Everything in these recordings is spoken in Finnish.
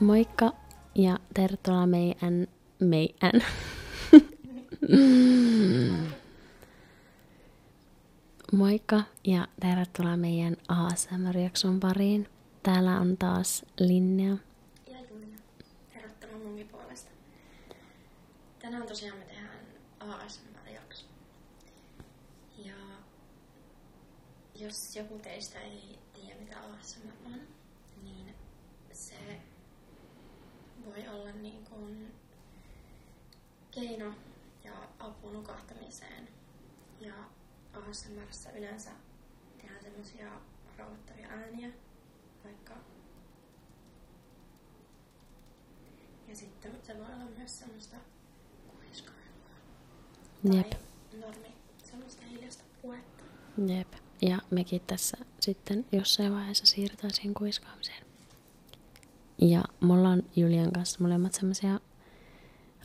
Moikka ja tervetuloa meidän, meidän. Moikka ja tervetuloa meidän ASMR-jakson pariin. Täällä on taas Linnea. Ja Julia. Tervetuloa munkin puolesta. Tänään tosiaan me tehdään ASMR-jakso. Ja jos joku teistä ei tiedä mitä ASMR on, niin se voi olla niin kuin keino ja apu nukahtamiseen. Ja ASMRssä yleensä tehdään semmosia rauhoittavia ääniä, vaikka. Ja sitten se voi olla myös semmoista kuiskailua. Jep. normi, semmoista hiljasta puhetta. Jep. Ja mekin tässä sitten jossain vaiheessa siirrytään siihen kuiskaamiseen. Ja me ollaan Julian kanssa molemmat semmoisia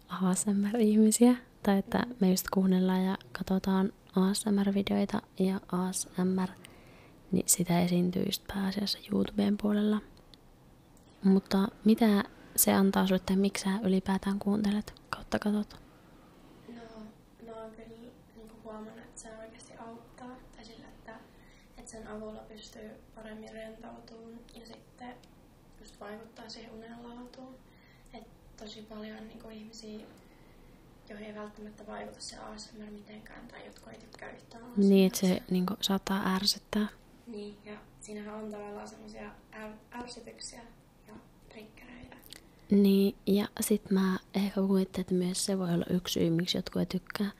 ASMR-ihmisiä, tai että me just kuunnellaan ja katsotaan ASMR-videoita ja ASMR, niin sitä esiintyy just pääasiassa YouTuben puolella. Mutta mitä se antaa sulle, tai miksi sä ylipäätään kuuntelet kautta katot? No, mä oon niinku huomannut, että se oikeasti auttaa. Tai sillä, että, että sen avulla pystyy paremmin rentoutumaan ja sitten just vaikuttaa siihen unenlaatuun. Et tosi paljon niin kuin ihmisiä, joihin ei välttämättä vaikuta se ASMR mitenkään, tai jotka ei tykkää yhtään ASMR. Niin, että se niin saattaa ärsyttää. Niin, ja siinähän on tavallaan semmoisia ärsytyksiä ja trikkereitä. Niin, ja sit mä ehkä kuvittelen, että myös se voi olla yksi syy, miksi jotkut ei tykkää.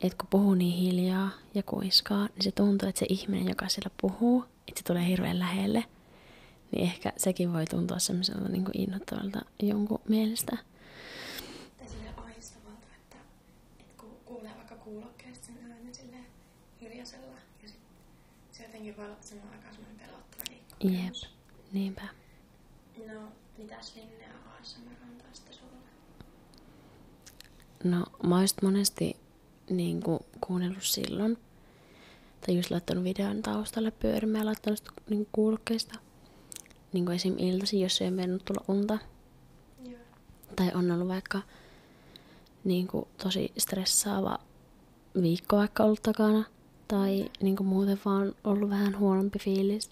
Että kun puhuu niin hiljaa ja kuiskaa, niin se tuntuu, että se ihminen, joka siellä puhuu, että se tulee hirveän lähelle, niin ehkä sekin voi tuntua semmoiselta niin kuin innoittavalta jonkun mielestä. Silleen ahdistavalta, että, että kuulee vaikka kuulokkeesta sen äänen silleen hiljaisella ja sitten se jotenkin voi olla samaan aikaan semmoinen pelottava kokemus. Jep, niinpä. No, mitäs Linnea ASMR on tästä sulle? No, mä oon monesti niin kuin, kuunnellut silloin. Tai just laittanut videon taustalle pyörimään ja laittanut sitä niin kuulokkeista. Niin kuin esim. iltasi, jos ei ole mennyt tulla unta. Joo. Tai on ollut vaikka niin kuin, tosi stressaava viikko vaikka ollut takana. Tai niin kuin, muuten vaan ollut vähän huonompi fiilis.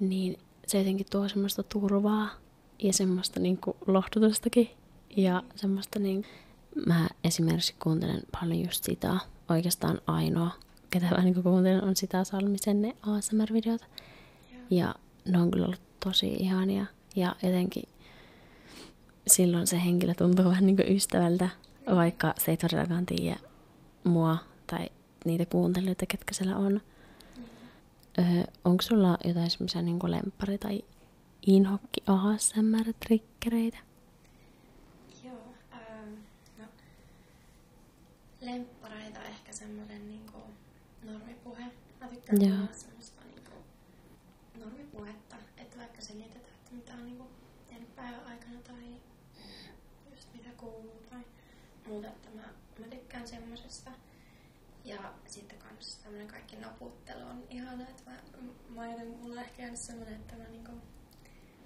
Niin se jotenkin tuo semmoista turvaa ja semmoista niin kuin lohdutustakin. Ja semmoista niin... Mä esimerkiksi kuuntelen paljon just sitä, oikeastaan ainoa, ketä mä niin kuuntelen, on sitä Salmisen ne ASMR-videot. Ja ne on kyllä ollut tosi ihania. Ja jotenkin silloin se henkilö tuntuu vähän niin kuin ystävältä, vaikka se ei todellakaan tiedä mua tai niitä kuuntelijoita, ketkä siellä on. Mm. Öö, onko sulla jotain semmoisia niin lempari tai inhokki ASMR-trikkereitä? Joo, ähm, no, lemppareita ehkä semmoinen niin normipuhe. Mä tykkään Joo. semmoista niinku normipuhetta, että vaikka selitetään, että mitä on niinku tehnyt päivän aikana tai just mitä kuuluu tai muuta, että mä, mä tykkään semmosesta. Ja sitten kanssa tämmöinen kaikki naputtelu on ihana, että mä, mä joten, mulla on ehkä jäänyt semmoinen, että mä niinku,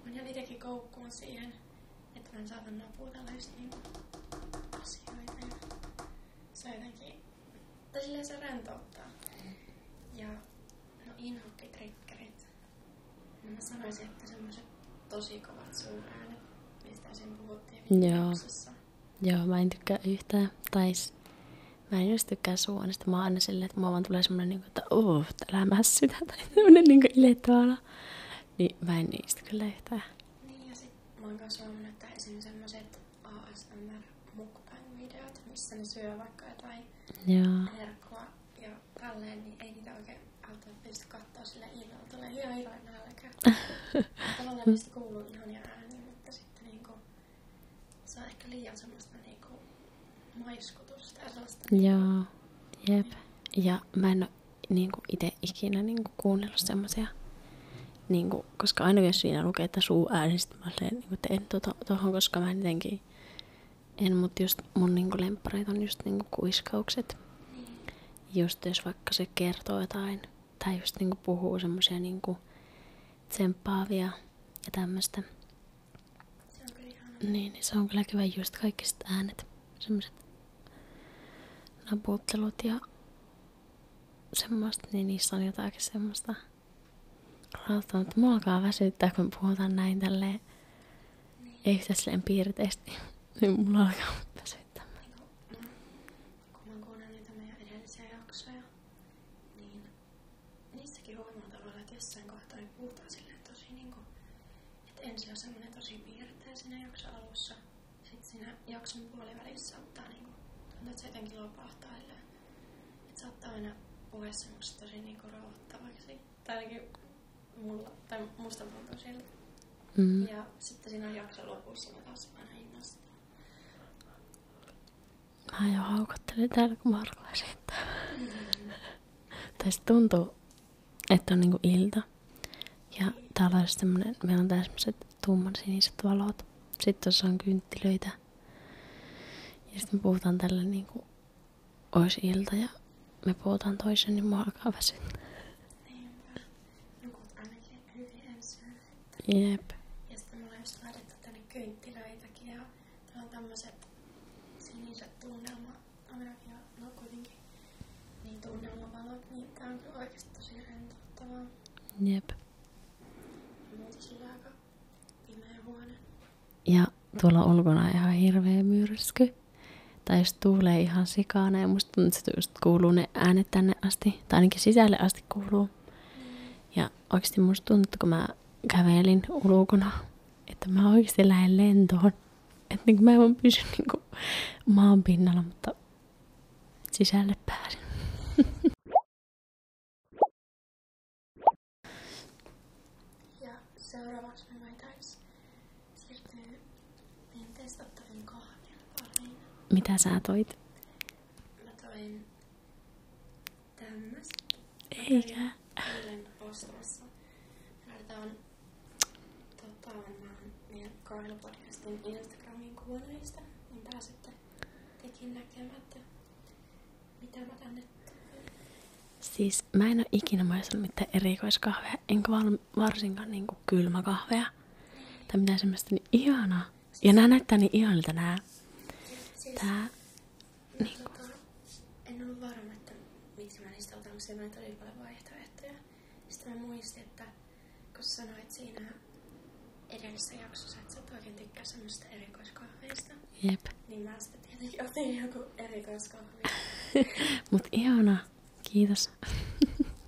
mä jään itsekin koukkuun siihen, että mä en saata naputella just niinku asioita ja se on jotenkin, tai silleen se rentouttaa. Ja no inhokkitrikkerit, no mä sanoisin, että semmoiset tosi kovat suuräänet, mistä siinä puhuttiin viime Joo, mä en tykkää yhtään. Tai mä en just tykkää suonesta. Mä oon aina silleen, että mua vaan tulee semmonen, niinku, että uh, älä mässytä. Tai semmonen niinku ilettävä Niin mä en niistä kyllä yhtään. Niin ja sit mä oon kanssa huomannut, että esim. semmoset ASMR mukbang-videot, missä ne syö vaikka jotain Joo. herkkua ja tälleen, niin ei niitä oikein auta pysty katsoa sillä illalla. Tulee liian iloinen nälkä. Tavallaan niistä kuuluu ihania ääniä, mutta sitten niinku se on ehkä liian semmoista niinku maiskutusta ja sellaista. Joo, jep. Ja mä en ole niinku itse ikinä niinku kuunnellut semmoisia niin kuin, koska aina jos siinä lukee, että suu ääni, sitten mä olen, niin kuin, että en tuota, tuohon, koska mä jotenkin en, mutta just mun niin kuin, lemppareita on just niin kuiskaukset. Niin. Just jos vaikka se kertoo jotain tai just niinku puhuu semmoisia niinku tsemppaavia ja tämmöistä. Niin, niin se on kyllä kiva just kaikki äänet, semmoiset naputtelut ja semmoista, niin niissä on jotakin semmoista rautaa, mutta mulla alkaa väsyttää, kun puhutaan näin tälleen, niin. ei yhtään silleen piirteisesti, niin mulla alkaa väsyttää. Niin kun mä kuulen niitä meidän edellisiä jaksoja, niin niissäkin huomaa tavallaan, että jossain kohtaa niin puhutaan silleen tosi niin kuin, että ensin on semmoinen tosi piirteä siinä jakson alussa, sitten siinä jakson puolivälissä saattaa niin kuin, tuntuu, että se jotenkin lopahtaa silleen. Että saattaa aina puhe semmoista tosi niin kuin rauhoittavaksi. Tai ainakin mulla, tai musta tuntuu siltä. Mm. Ja sitten siinä jakson lopussa mä taas aina innostun. Mä jo haukottelen täällä, kun mä esittää. Tästä tuntuu, että on niinku ilta. Ja täällä on semmonen, meillä on tämmöiset tumman siniset valot. Sitten tuossa on kynttilöitä. Ja sitten me puhutaan tällä niinku, ois ilta ja me puhutaan toisen, niin mua alkaa väsyttää. Niinpä. No, ainakin hyvin ensin. Jep. Ja sitten mulla on just laitettu tänne kynttilöitäkin ja täällä on tämmöiset siniset tunnelma, ainakin no kuitenkin, niin tunnelmavalot, niin tää on kyllä oikeasti tosi rentouttavaa. Jep. Ja muuten sillä aika pimeä huone. Ja tuolla ulkona on ihan hirveä myrsky. Tai jos tuulee ihan sikana ja musta tuntuu, että just kuuluu ne äänet tänne asti, tai ainakin sisälle asti kuuluu. Ja oikeasti musta tuntui, että kun mä kävelin ulkona, että mä oikeasti lähden lentoon. Että niin mä en vaan pysy niin maan pinnalla, mutta sisälle pääsin. Ja Mitä sä toit? Mä toin Tämmöstä. Eikä. Eilen ostamassa. Laitetaan tota, meidän kahden Instagramin kuunnelista, niin pääsette tekin näkemään, että mitä mä tänne Siis mä en ole ikinä maistanut mitään erikoiskahveja, enkä val- varsinkaan niinku kylmäkahveja. Niin. Tai mitään semmoista niin ihanaa. Ja nämä näyttää niin ihanilta nämä. Siis, Tää. Niin kuin. En ole varma, että miksi mä niistä otan, koska mä en todella paljon vaihtoehtoja. Sitten mä muistin, että kun sanoit siinä edellisessä jaksossa, että sä et oikein tykkää semmoista erikoiskahveista. Jep. Niin mä sitten tietenkin otin joku erikoiskahvi. Mut ihana. Kiitos.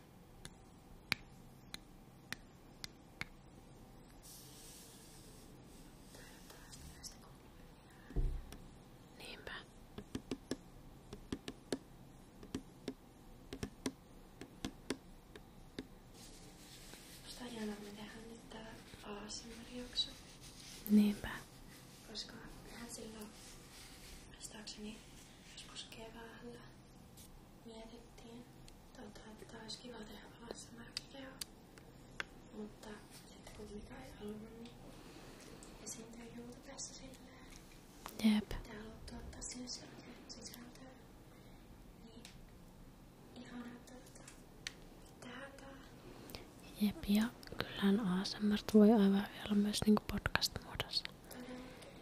Niinpä. Musta on jännä, me tehdään Koska mehän silloin, muistaakseni joskus keväällä, mietittiin tota, että olisi kiva tehdä ASMR-video, mutta sitten kun Mika ei halunnut, niin esiintyi muuta tässä silleen. Jep. Te haluatte ottaa siihen sisältöä. Niin ihana, että tähän tää. Jep, ja kyllähän ASMR voi aivan vielä myös niinku podcast-muodossa.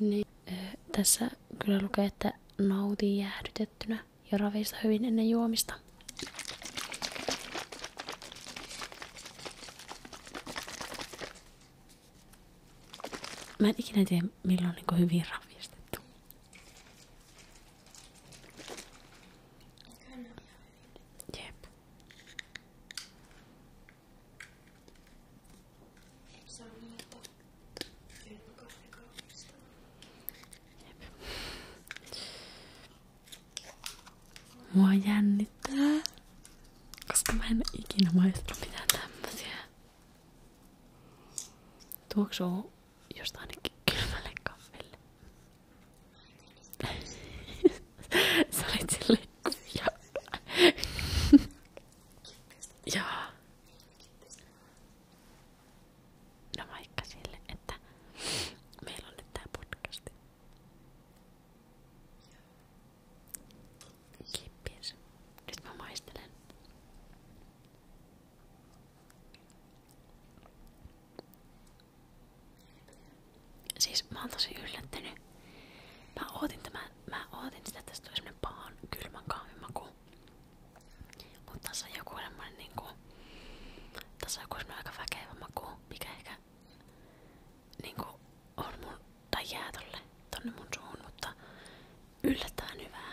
niin, niin eh, tässä kyllä lukee, että nauti jäähdytettynä ja ravista hyvin ennen juomista. Mä en ikinä tiedä, milloin on niin hyvin ravistettu. Jep. Jep. Mua jännittää, koska mä en ikinä maistanut mitään tämmösiä. Tuoksuu josta ainakin kylmälle kahville. Sä olit silleen, Joo. No vaikka sille, että meillä on nyt tää podcasti. Kippis. Nyt mä maistelen. Siis mä oon tosi yllättynyt. Mä ootin, tämän, mä ootin sitä, että tästä tulee semmonen pahan kylmän kahvimaku. Mut tässä on joku semmonen niinku... Tässä on joku semmonen aika väkevä maku, mikä ehkä niinku on mun... Tai jää tolle, tonne mun suuhun, mutta yllättävän hyvää.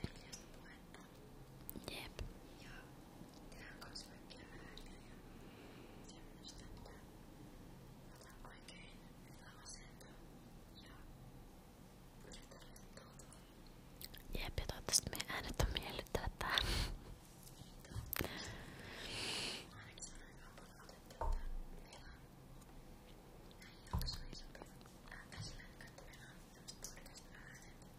Veljespuetta. Jep. Ja tehdään kans kaikkia ääniä ja semmoista, että otan oikein hyvä asento ja yritän rentoutua. Jep, ja toivottavasti meidän äänet on miellyttävät tähän. Ainakin se on aika paljon otettu, että meillä on näin jaksoja, jotka on käsillä, että meillä on tämmöiset podcastin äänet.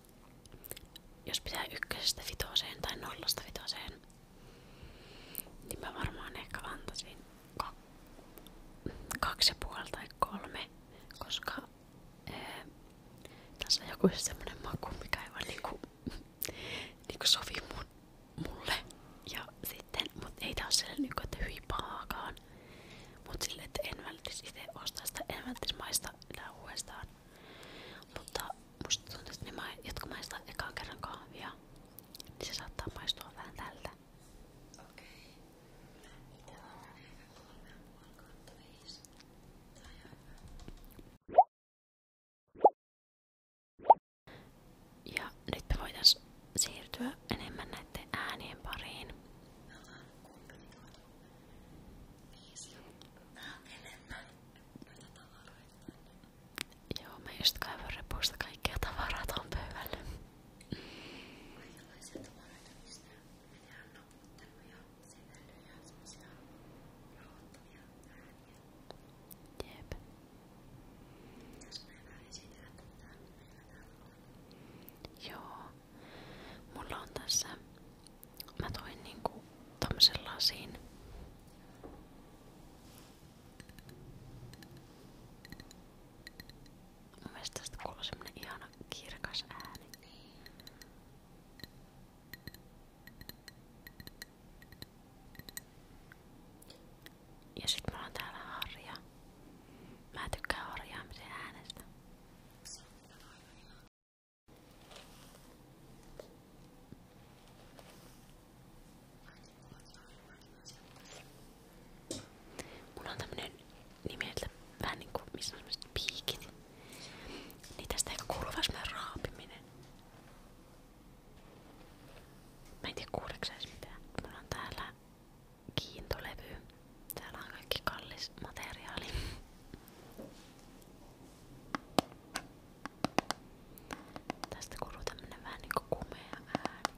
jos pitää ykkösestä vitoseen tai nollasta vitoseen, niin mä varmaan ehkä antaisin ka kaksi ja puoli tai kolme, koska ää, eh, tässä on joku semmonen maku, mikä ei vaan niinku, niinku sovi mun, mulle. Ja sitten, mut ei tää oo sellainen niinku, että hyi pahaakaan, mut sille, että en välttis itse ostaa sitä, en välttis maista enää uudestaan. Mutta musta tuntuu, että ne, jotka maistaa ekaan kerran kahvia, niin se saattaa maistua vähän tältä. Okei. Okay. Ja nyt me voitais siirtyä enemmän näiden äänien pariin. Me ollaan kuunnellut enemmän Joo, mä just kaivan repusta kaikkia tavarat on pöydällä. Kaikenlaisia tavaroita, mistä minä on noputtanut ja sivelyjä, semmosia rauhoittavia ääniä. Jep. Pitäis meillä esitellä tätä, mitä täällä on? Joo. Mulla on tässä mä toin niinku tommosen lasin. Mun mielestä tästä kuuluu semmonen ihana kirkas ääni. Ja sit mulla on täällä harja. Mä tykkään harjaamisen äänestä. Mulla on tämmönen nimeltä vähän niinku, missä on semmoset piikit. Niin tästä ehkä kuuluu vähän semmonen raapiminen. Mä en tiedä kuuleeko edes mitään. Mulla on täällä kiintolevy. Täällä on kaikki kallis materiaali. Tästä kuuluu tämmönen vähän niinku kumea ääni.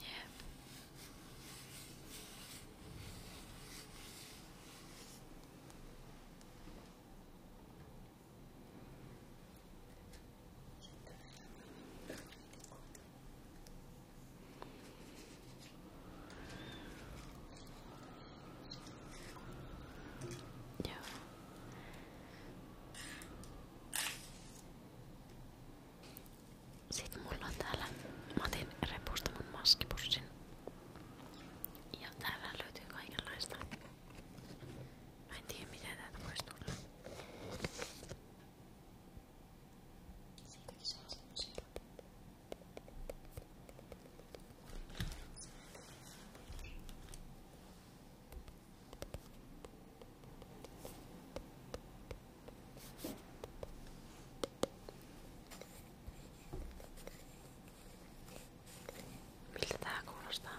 Jep. Ja. Sitten mulla on täällä Matin repusta mun maskipussin. Ja täällä löytyy kaikenlaista. Mä en tiedä miten täältä voisi tulla. Sıradaki şanslı şey Miltä tää kuulostaa?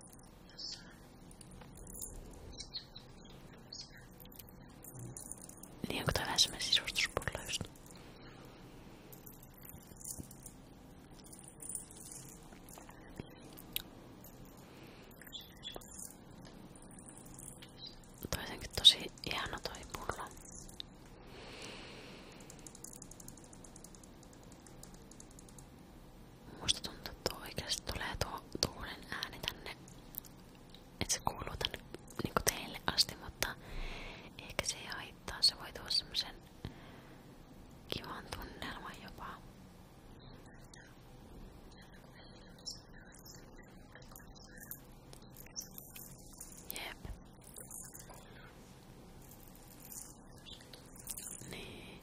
Niin onko toi vähän semmonen sisustuspullo just? Toi jotenkin tosi ihana toi pullo. Musta tuntuu, että tuo oikeasti tulee tuo tuulen ääni tänne, että se kuuluu tänne niinku teille asti, mutta ehkä se ei haittaa. Se voi tuoda semmosen kivan tunnelman jopa. Jep. Niin.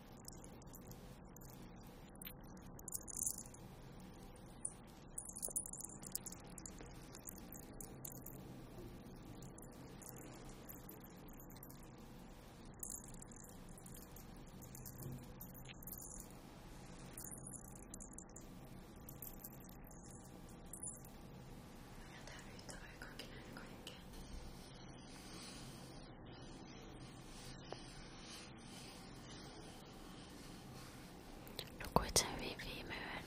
やだ、人がかけない、これけ。Nukuit sen hyvin viime yön.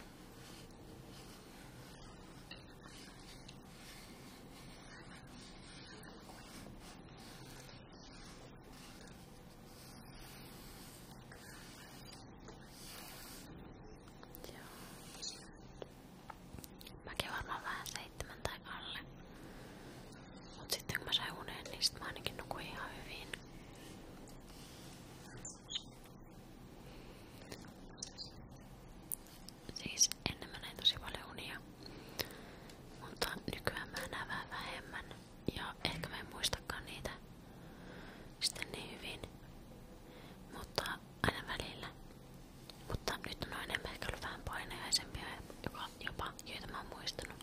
Joo. Mäkin varmaan vähän seitsemän tai alle. Mut sitten kun mä sain unen, niin mä ainakin nukuin ihan Siis ennen mä näin tosi unia, mutta nykyään mä näen vähän vähemmän ja ehkä mä en niitä sitten niin mutta aina välillä. Mutta nyt on enemmän ehkä ollut vähän paineaisempia jopa, joita mä oon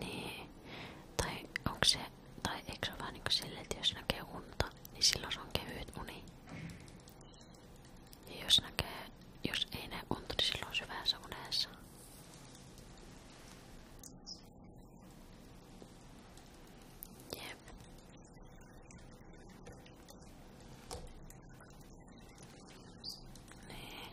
Niin. Tai onko se, tai eikö se ole vähän niin kuin silleen, että jos näkee unta, niin silloin se on kevyt uni. Ja jos näkee, jos ei näe unta, niin silloin on syvässä unessa. Jep. Niin.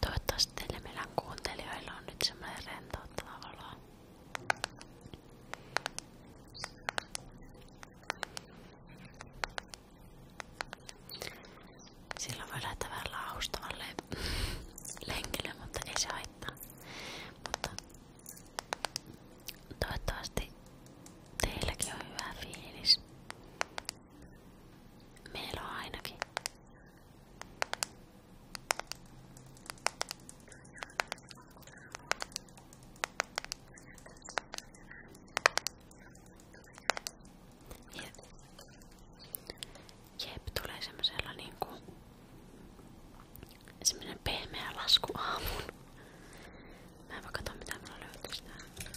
Toivottavasti teille meidän kuuntelijoilla on nyt semmoinen rentouttava olo. Silloin voi lähteä vähän laustavalle lenkille, mutta ei se haittaa. Mutta toivottavasti teilläkin on hyvä fiilis. Meillä on ainakin. Jep. Jep, tulee semmosella niinku semmonen pehmeä lasku aamuun. Mä en voi katsoa mitä mulla löytyy täällä.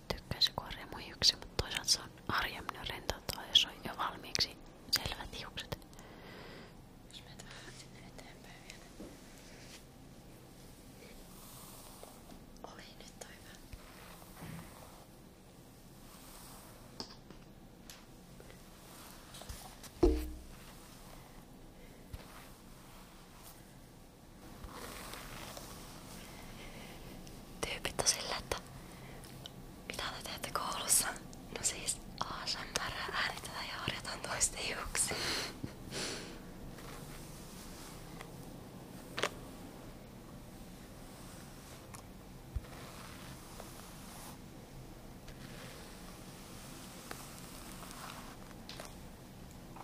tykkäisi, kun on remuhiuksia, mutta toisaalta se on harjemmin rentouttaa, jos on jo valmiiksi selvät hiukset. Jos menet vähän sinne eteenpäin vielä. Oli nyt toi hyvä. Tyypit on sillä, että mitä te teette koulussa? No siis ASMR äänitetään ja harjataan toisten hiuksia.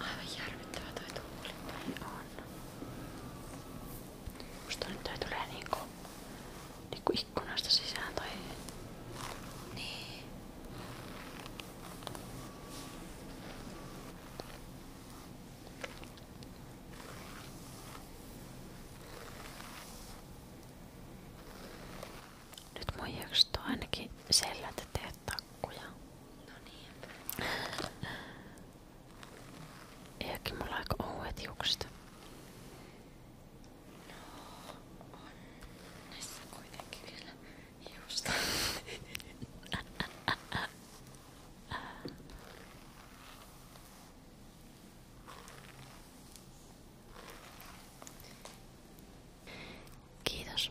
Aivan järkyttävä toi tuuli. On. Musta nyt tulee niinku, niinku ikkunasta sisään tai... Niin. Nyt mun jakset on ainakin sellät, ettei takkuja. No niin. Eikin mulla aika ouet hiukset. No, on näissä kuitenkin vielä hiusta. Kiitos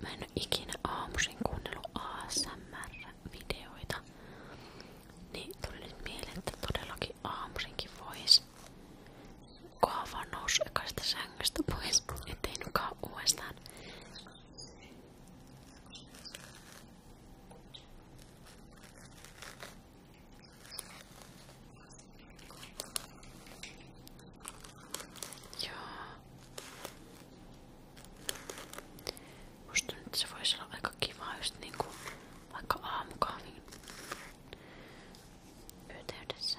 Mä en oo ikinä aamuisin kuunnellut ASMR-videoita. Niin tuli nyt mieleen, että todellakin aamuisinkin vois kunhan vaan nousu ekaista sängystä pois, ettei nukaan uudestaan. Joo. Musta nyt se voisi olla aika kiva just niinku vaikka aamukahvin yhteydessä.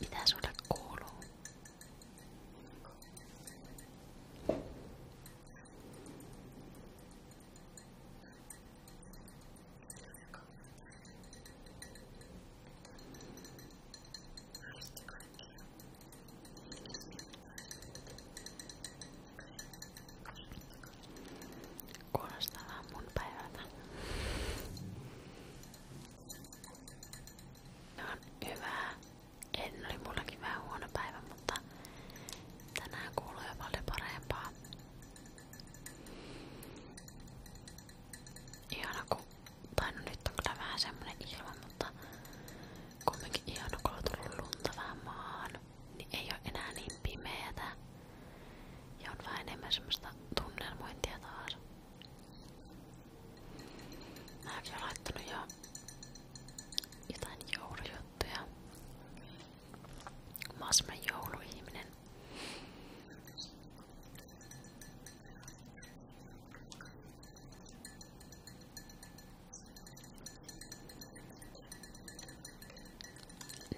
Mitä sulle kuuluu? Muisti kaikkia. Kuulostaa vaan mun päivältä. Se on hyvää. En oli mullakin vähän huono päivä, mutta tänään kuuluu jo paljon parempaa. Ihana kun, tai no nyt on kyllä vähän semmonen ilma, mutta Kumminkin ihana, kun on tullut lunta vähän maahan, niin ei ole enää niin pimeätä. Ja on vähän enemmän semmoista tunnelmointia taas. Mäkin olen laittanut jo jotain joulujuttuja. Mä oon semmonen jouluihminen.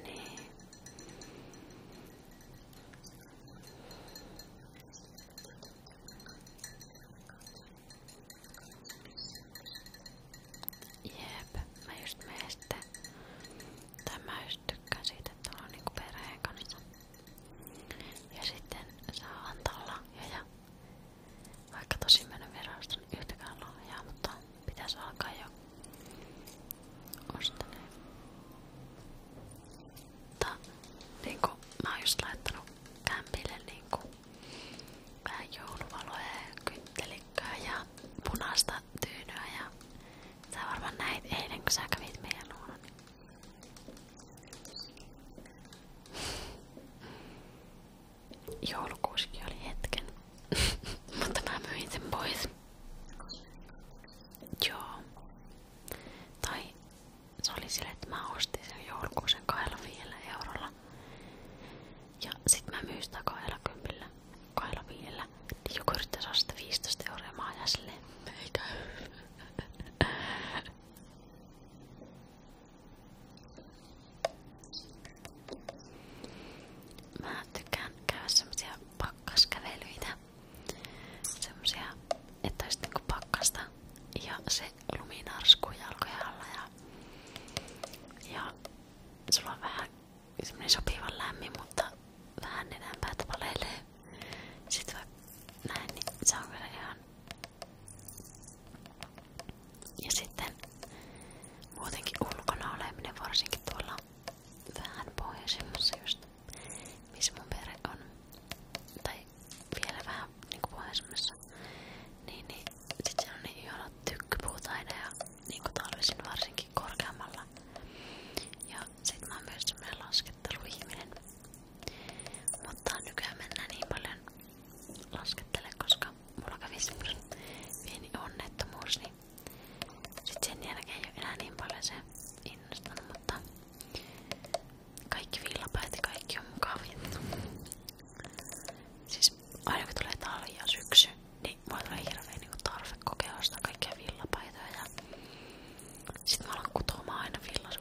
Niin. Jep, mä just meistä. Tai mä just tykkään siitä, että on niinku perheen kanssa. Ja sitten saa antaa lahjoja vaikka tosi mä en viraston niin yhtäkään lahjaa, mutta pitäisi alkaa jo ostaneet. Mutta niinku, mä oon just laittanut kämpille niinku vähän jouluvaloja ja kyttelikköä ja punaista tyynyä ja sä varmaan näit eilen kun sä kävit meidän luona. Niin. Joulukuusikin oli hetken. Mutta mä myin sen pois. Joo. Tai se oli sille, että mä ostin sen joulukuusen 25 eurolla. Ja sit mä myin sitä 20, 25, niin joku yrittää saada sitä 15 euroa ja mä ajan silleen, ei käy. Mä tykkään käydä semmosia pakkaskävelyitä. Semmosia, että olisi niinku pakkasta ja se luminarskuu jalkojen ja, ja sulla on vähän semmonen mutta vähän enempää tavalleilee. Sitten näin, niin se on kyllä ihan ja sitten muutenkin ulkona oleminen, varsinkin tuolla vähän pohjoisemmassa just, missä mun perhe on, tai vielä vähän niinku pohjoisemmassa, niin, niin sit siellä on niin ihanat tykkypuut aina ja niinku talvisin varsinkin korkeammalla. Ja sit mä oon myös semmonen lasketteluihminen, mutta nykyään mennään niin paljon laskettele, koska mulla kävi pieni onnettomuus, niin sit niin paljon se mutta kaikki villapäät kaikki on mukavia. Siis aina kun ja syksy, niin mulla tulee hirveä niin tarve kokea ostaa kaikkia villapäitoja ja mä alan kutomaan aina villas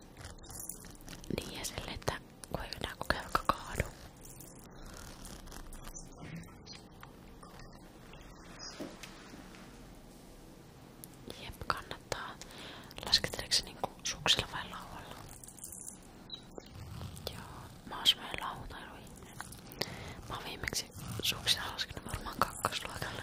Niin ja sille, että kun ei enää kun kelka kaadu. Jep, kannattaa. Lasketteleeko se niinku suksilla vai laualla? Joo, mä oon semmoinen lautailuihminen. Mä oon viimeksi suksilla laskenut varmaan kakkosluokalle.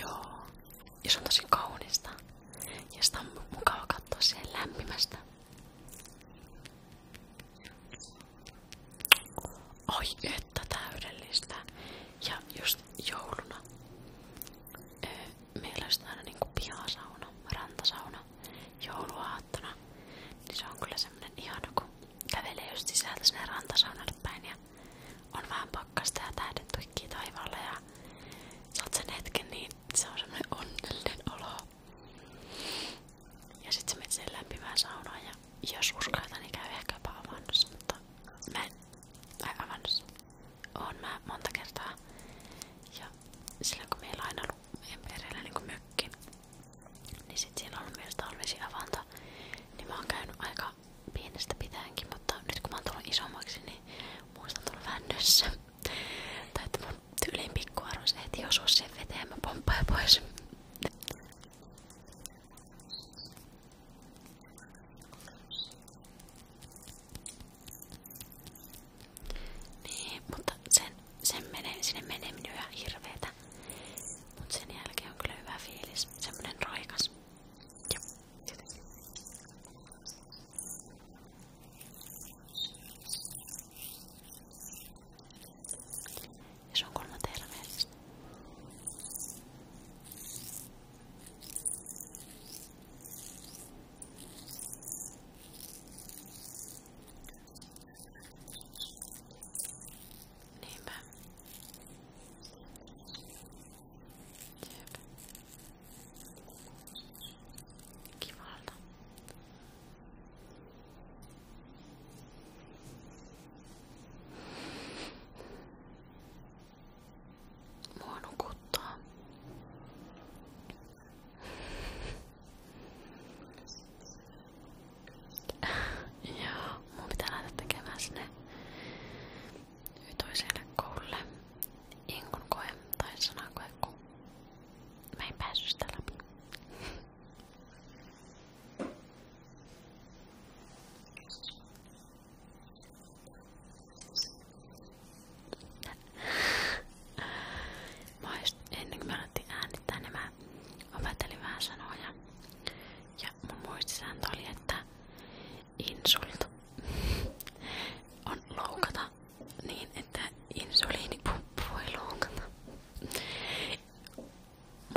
Joo, ja se on tosi kaunista. Ja sitä on mukava katsoa täyttä, täydellistä. Ja just jouluna meillä on aina niinku pihasauna, rantasauna jouluaattona. Niin se on kyllä semmonen ihana, kun kävelee just sisältä ja on vähän pakkasta ja tähdet tuikkii ja saat sen hetken, niin se on semmonen onnellinen olo. Ja sit sä menet sen jos uskaltaa, niin käy ehkä jopa avannossa, mutta mä en ai avannut. Oon mä monta kertaa. Ja silloin kun meillä on aina ollut meidän perheellä niin mökki, niin sit siellä on ollut myös talvesiavanto. Niin mä oon käynyt aika pienestä pitäenkin, mutta nyt kun mä oon tullut isommaksi, niin muista on tullut vännössä. tai että mun tyyliin pikkuarvoisi heti osuu siihen veteen, mä pomppaan pois. Niin, mutta sen, sen menee, sinne menee minun ihan hirveetä. Mut sen jälkeen on kyllä hyvä fiilis, semmonen roikas. Ja, jotenkin. Ja se on kolmantena mielessä. Niinpä. Jep. Kivalta. Mua nukuttaa. Joo, mun pitää lähteä tekemään sinne toiselle koululle inkun koe tai sanakoe, kun mä en päässyt sitä läpi. Mä just, ennen kuin mä alettiin äänittää, niin mä opettelin vähän sanoja. Ja mun muistisääntö oli, että insult on loukata niin, että insuliinipumppua ei loukata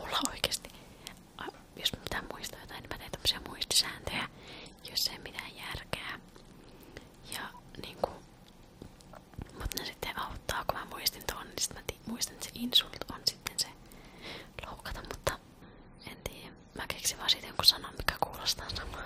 mulla oikeasti, jos mä pitää muistaa jotain, niin mä teen tämmösiä muistisääntöjä, jos ei mitään järkeä. Ja niinku, mut ne sitten auttaa, kun mä muistin tuon, niin sit mä muistan, että se insult on sitten se loukata, mutta en tiedä. Mä keksin vaan siitä jonkun sanan, mikä kuulostaa samalta.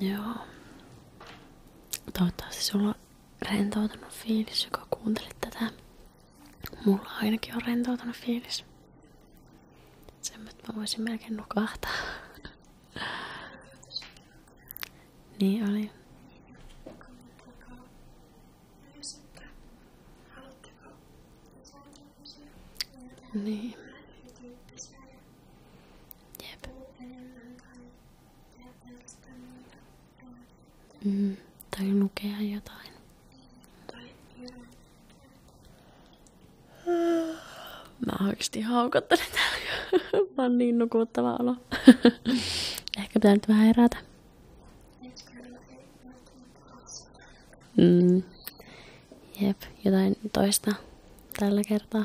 Joo. Toivottavasti sulla on rentoutunut fiilis, joka kuuntelit tätä. Mulla ainakin on rentoutunut fiilis. Sen mä voisin melkein nukahtaa. niin oli. Niin. Jep. Mm, tai lukea jotain. Mä oikeasti haukottelen täällä. Mä oon niin nukuttava olo. Ehkä pitää nyt vähän herätä. Mm. Jep, jotain toista tällä kertaa.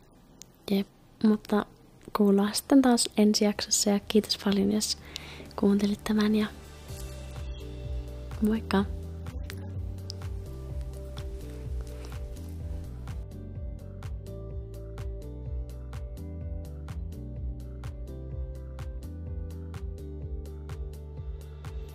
Jep, mutta kuullaan sitten taas ensi jaksossa ja kiitos paljon, jos kuuntelit tämän ja moikka!